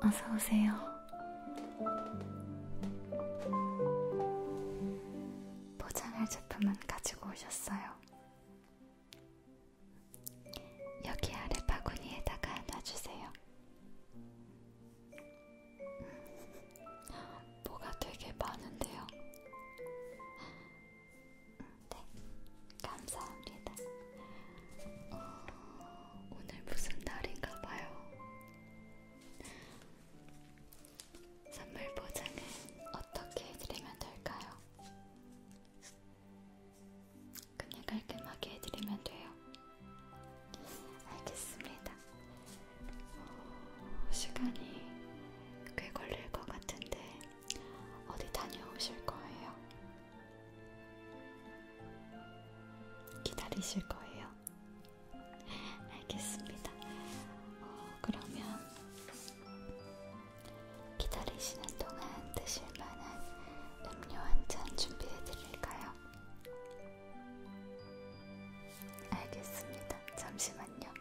어서 오세요. 포장할 제품은 가지고 오셨어요. 여기 아래 바구니에다가 놔주세요. 음. 뭐가 되게 많은데요. 네, 감사합니다. 어, 오늘 무슨 날인가 봐요. 선물 보장은 어떻게 해드리면 될까요? 그냥 깔끔하게 해드리면 돼요. 알겠습니다. 어, 시간이 꽤 걸릴 것 같은데 어디 다녀오실 거예요? 기다리실 거예요? 알겠습니다. 어, 그러면 기다리시는 동안 드실 만한 음료 한 잔 준비해 드릴까요? 알겠습니다. 잠시만요.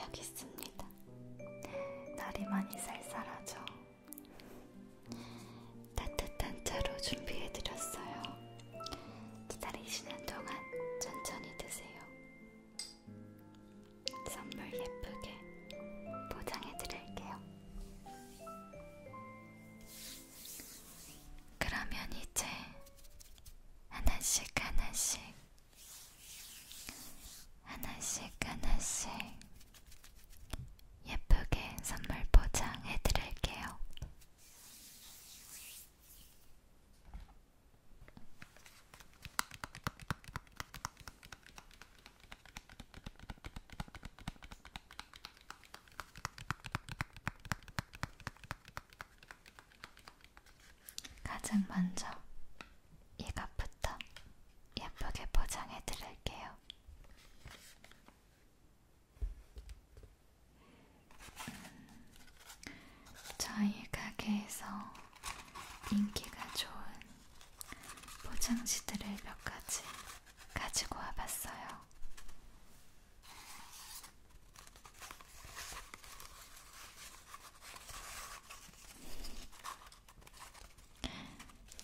여기 있습니다. 날이 많이 쌀쌀하죠? 따뜻한 차로 준비해드렸어요. 기다리시는 동안 천천히 드세요. 선물 예쁘게 포장해드릴게요. 그러면 이제 하나씩 하나씩 하나씩 하나씩 예쁘게 선물 포장해 드릴게요. 가장 먼저 이갑부터 예쁘게 포장해 드릴게요. 음, 저희 가게에서 인기가 좋은 포장지들을 몇 가지 가지고 와봤어요.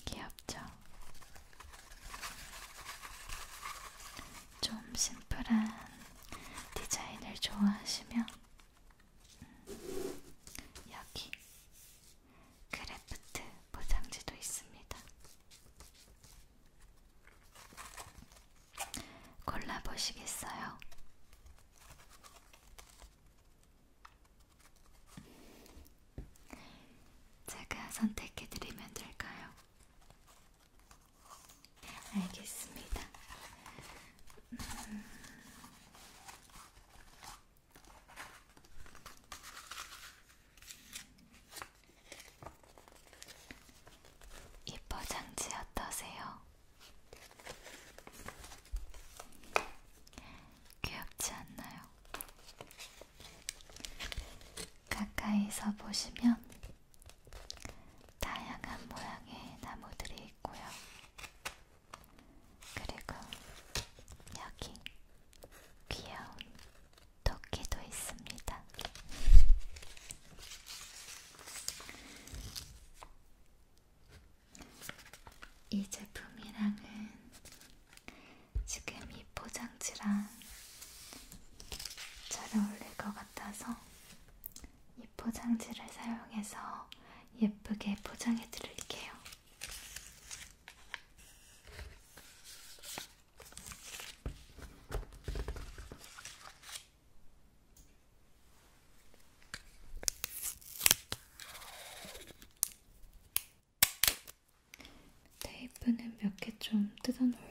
귀엽죠? 좀 심플한 디자인을 좋아하시면 음, 여기 크래프트 포장지도 있습니다. 골라보시겠어요? 제가 선택해드리면 될까요? 알겠습니다. 음... 이 포장지 어떠세요? 귀엽지 않나요? 가까이서 보시면 다양한 모양의 나무들이 있고요. 그리고 여기 귀여운 토끼도 있습니다. 이 제품이랑은 지금 이 포장지랑 잘 어울릴 것 같아서 이 포장지를 사용해서 예쁘게 포장해 드릴게요. 테이프는 네, 몇개 좀 뜯어 놓을게요.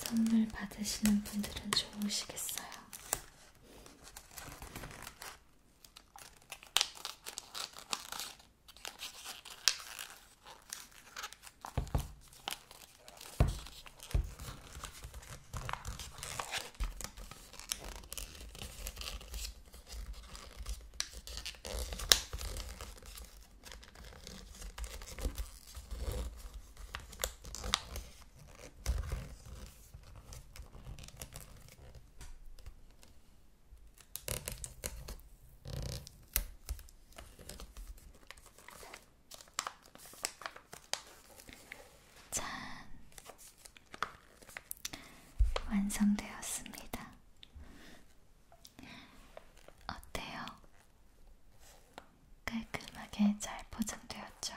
선물 받으시는 분들은 좋으시겠어요. 짠! 완성되었습니다. 어때요? 깔끔하게 잘 포장되었죠?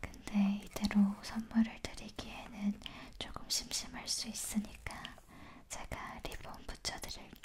근데 이대로 선물을 드리기에는 조금 심심할 수 있으니까 제가 리본 붙여드릴게요.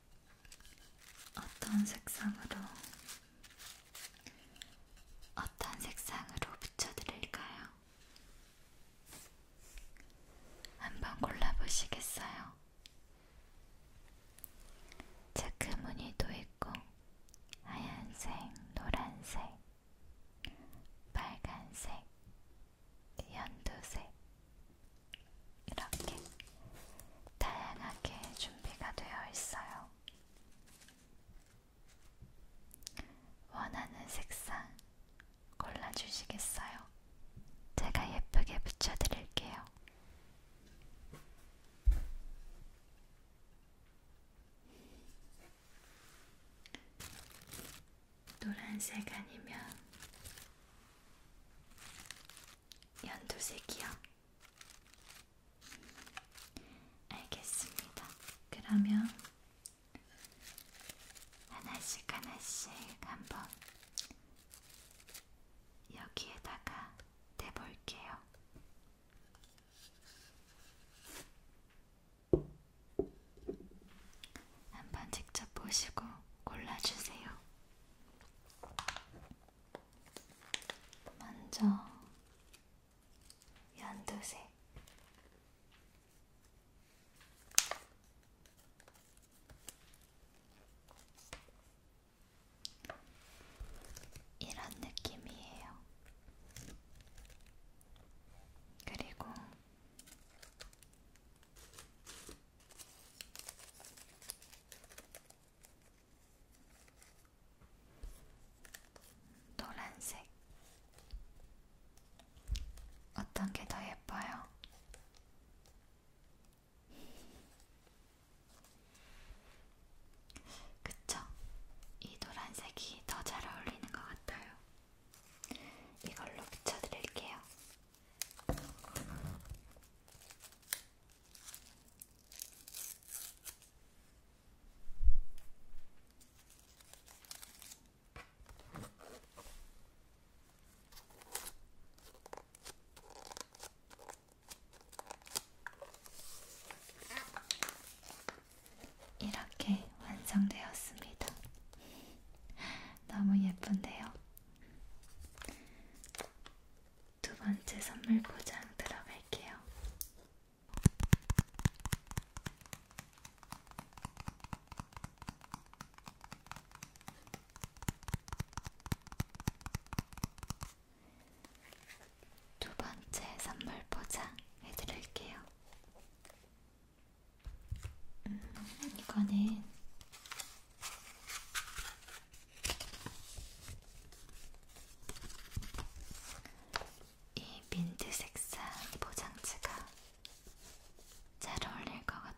어떤 색상으로 어떤 색상으로 붙여드릴까요? 한번 골라보시겠어요? 체크 무늬도 있고 하얀색, 노란색, 빨간색, 연두색, 이렇게 다양하게 준비가 되어 있어요. 원하는 색상 골라주시겠어요? 제가 예쁘게 붙여드릴게요. 노란색 아니면 연두색이요. 알겠습니다. 그러면 하나씩 하나씩 한번 여기에다가 대볼게요. 한번 직접 보시고 골라주세요. 먼저 연두색 이런 느낌이에요. 그리고 노란색 어떤 게 더 예뻐요? 그쵸? 이 노란색이 더 잘 어울리는 것 같아요. 이걸로 붙여드릴게요. 이렇게 완성되었습니다. 너무 예쁜데요? 두 번째 선물 포장 들어갈게요. 두 번째 선물 포장 해드릴게요. 음, 이거는 이 민트 색상 포장지가 잘 어울릴 것 같아요.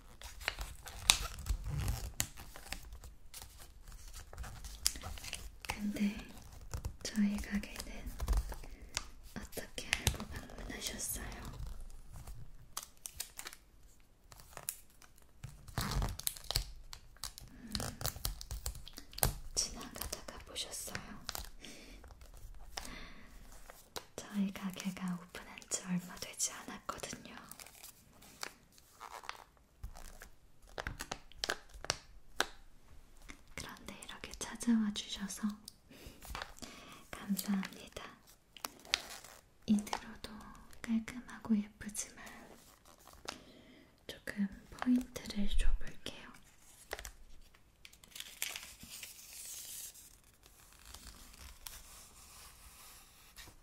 근데 저희 가게는 어떻게 알고 방문하셨어요? 음, 지나가다가 보셨어요? 저희 가게가 오픈한 지 얼마 되지 않았거든요. 그런데 이렇게 찾아와 주셔서 감사합니다. 인트로도 깔끔하고 예쁘지만 조금 포인트를 줘볼게요.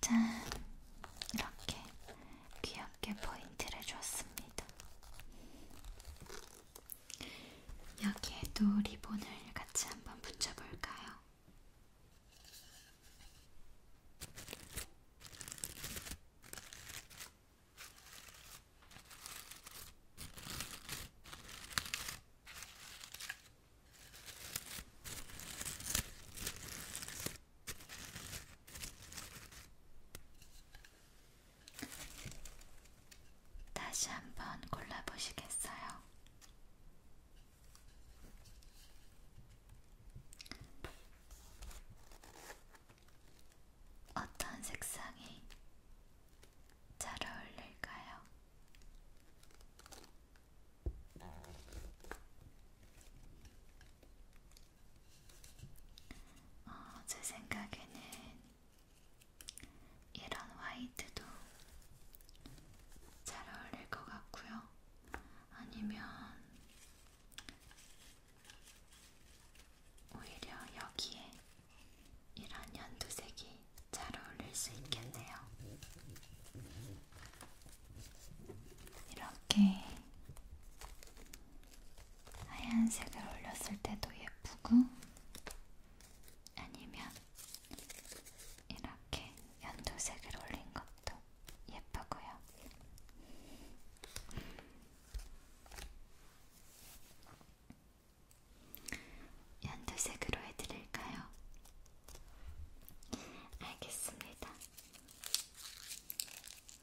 짠! 이렇게 귀엽게 포인트를 줬습니다. 여기에도 리본을 같이 한번 붙여볼까요? 다시 한번 골라보시겠어요? 어떤 색상이 잘 어울릴까요? 어, 제 생각에는 이런 화이트도 잘 어울릴 것 같고요. 아니면 오히려 여기에 이런 연두색이 잘 어울릴 수 있겠네요. 이렇게 하얀색을 올렸을 때도 예쁘고 아니면 이렇게 연두색을 올린 것도 예쁘고요. 연두색으로 해드릴까요? 알겠습니다.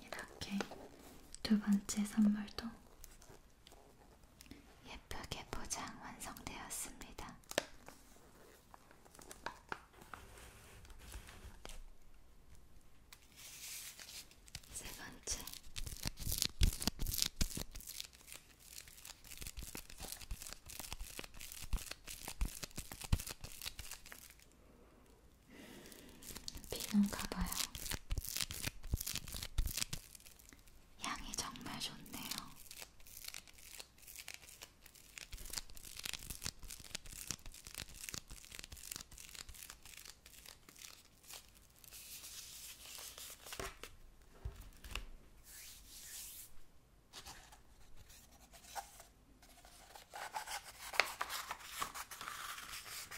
이렇게 두 번째 선물도 예쁘게 포장 완성되었습니다. 세 번째. 비는가 봐요. 향이 정말 좋네요.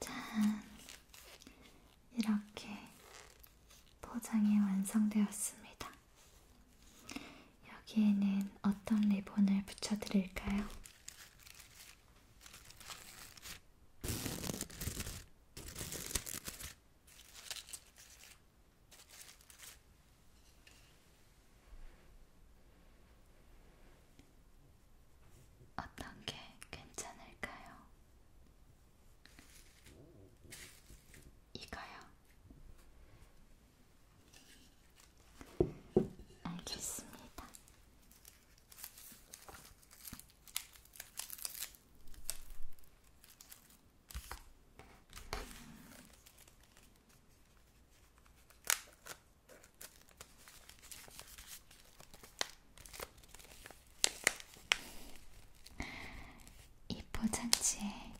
짠! 이렇게 포장이 완성되었습니다. 여기에는 어떤 리본을 붙여드릴까요? 어떤 게 괜찮을까요? 이거요. 알겠습니다. 음. 이 포장지에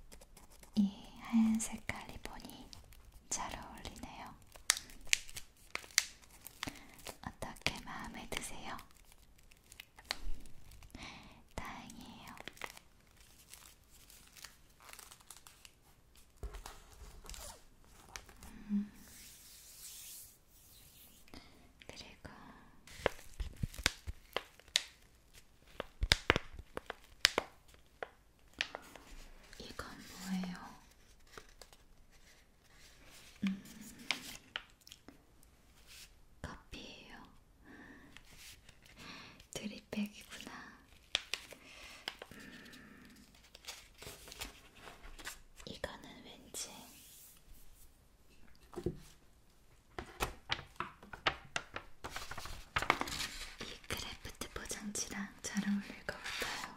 이 하얀 색깔 리본이 잘 어울리네요. 어떻게 마음에 드세요? 다행이에요. 음. 그리고 이건 뭐예요? 음. 커피예요. 드립백이구나. 음. 이거는 왠지 이 크래프트 포장지랑 잘 어울릴 것 같아요.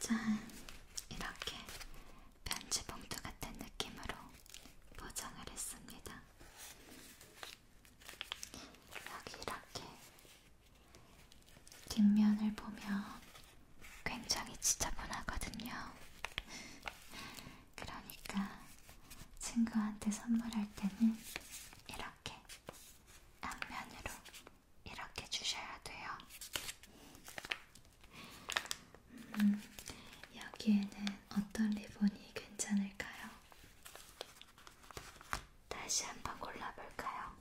짠! 이렇게 편지봉투 같은 느낌으로 포장을 했습니다. 여기 이렇게 뒷면을 보면 굉장히 지저분하거든요. 그러니까 친구한테 선물할 때는 이렇게 앞면으로 이렇게 주셔야 돼요. 음, 여기에는 어떤 리본이 괜찮을까요? 다시 한번 골라볼까요?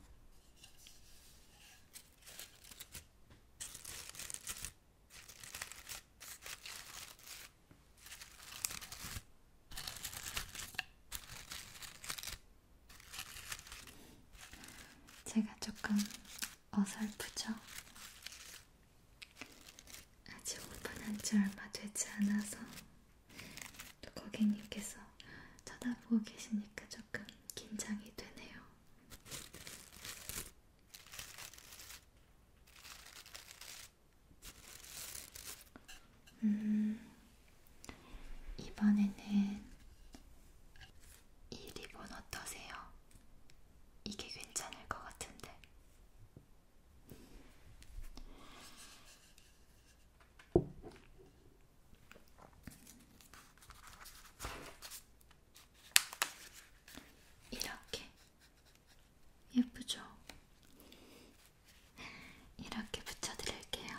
제가 조금 어설프죠? 아직 오픈한 지 얼마 되지 않아서 또 고객님께서 쳐다보고 계시니까 조금 긴장이 되네요. 음, 이번에는 이 리본 어떠세요? 이게 괜찮을 것 같은데. 이렇게 예쁘죠? 이렇게 붙여드릴게요.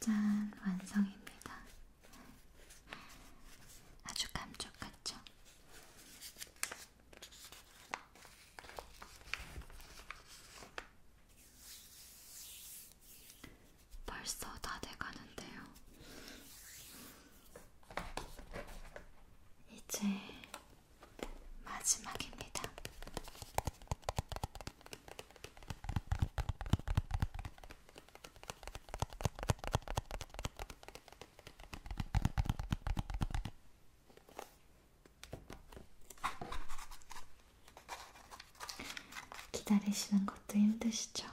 짠, 완성입니다. 아주 감쪽같죠? 벌써 다 돼가는데요. 이제 마지막입니다. 기다리시는 것도 힘드시죠?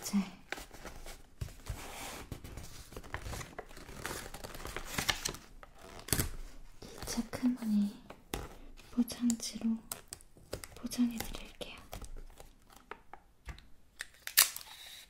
이제 이 체크무늬 포장지로 포장해 드릴게요.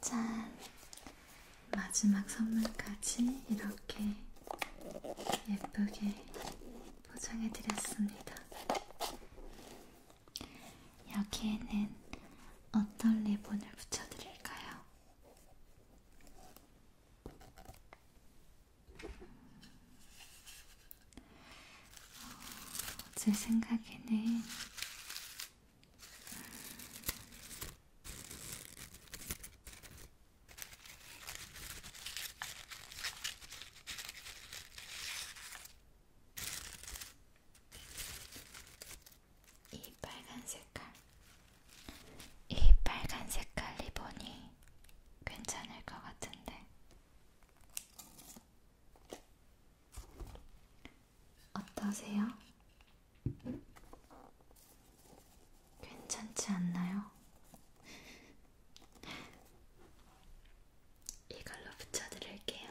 짠! 마지막 선물까지 이렇게 예쁘게 포장해드렸습니다. 여기에는 어떤 리본을 붙여드릴까요? 어, 제 생각에는 이 빨간 색깔, 이 빨간 색깔 리본이 괜찮을 것 같은데 어떠세요? 괜찮지 않나요? 이걸로 붙여드릴게요.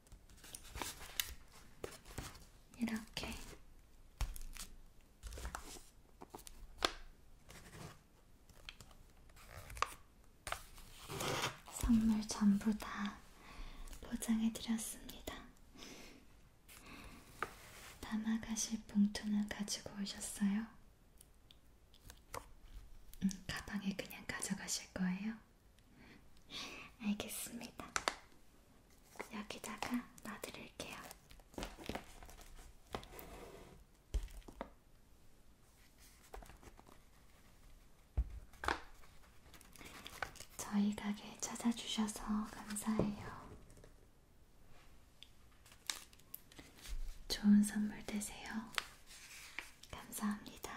이렇게 선물 전부 다 포장해드렸습니다. 담아가실 봉투는 가지고 오셨어요? 음, 가방에 그냥 가져가실 거예요? 알겠습니다. 여기다가 놔드릴게요. 저희 가게 찾아주셔서 감사해요. 좋은 선물 되세요. 감사합니다.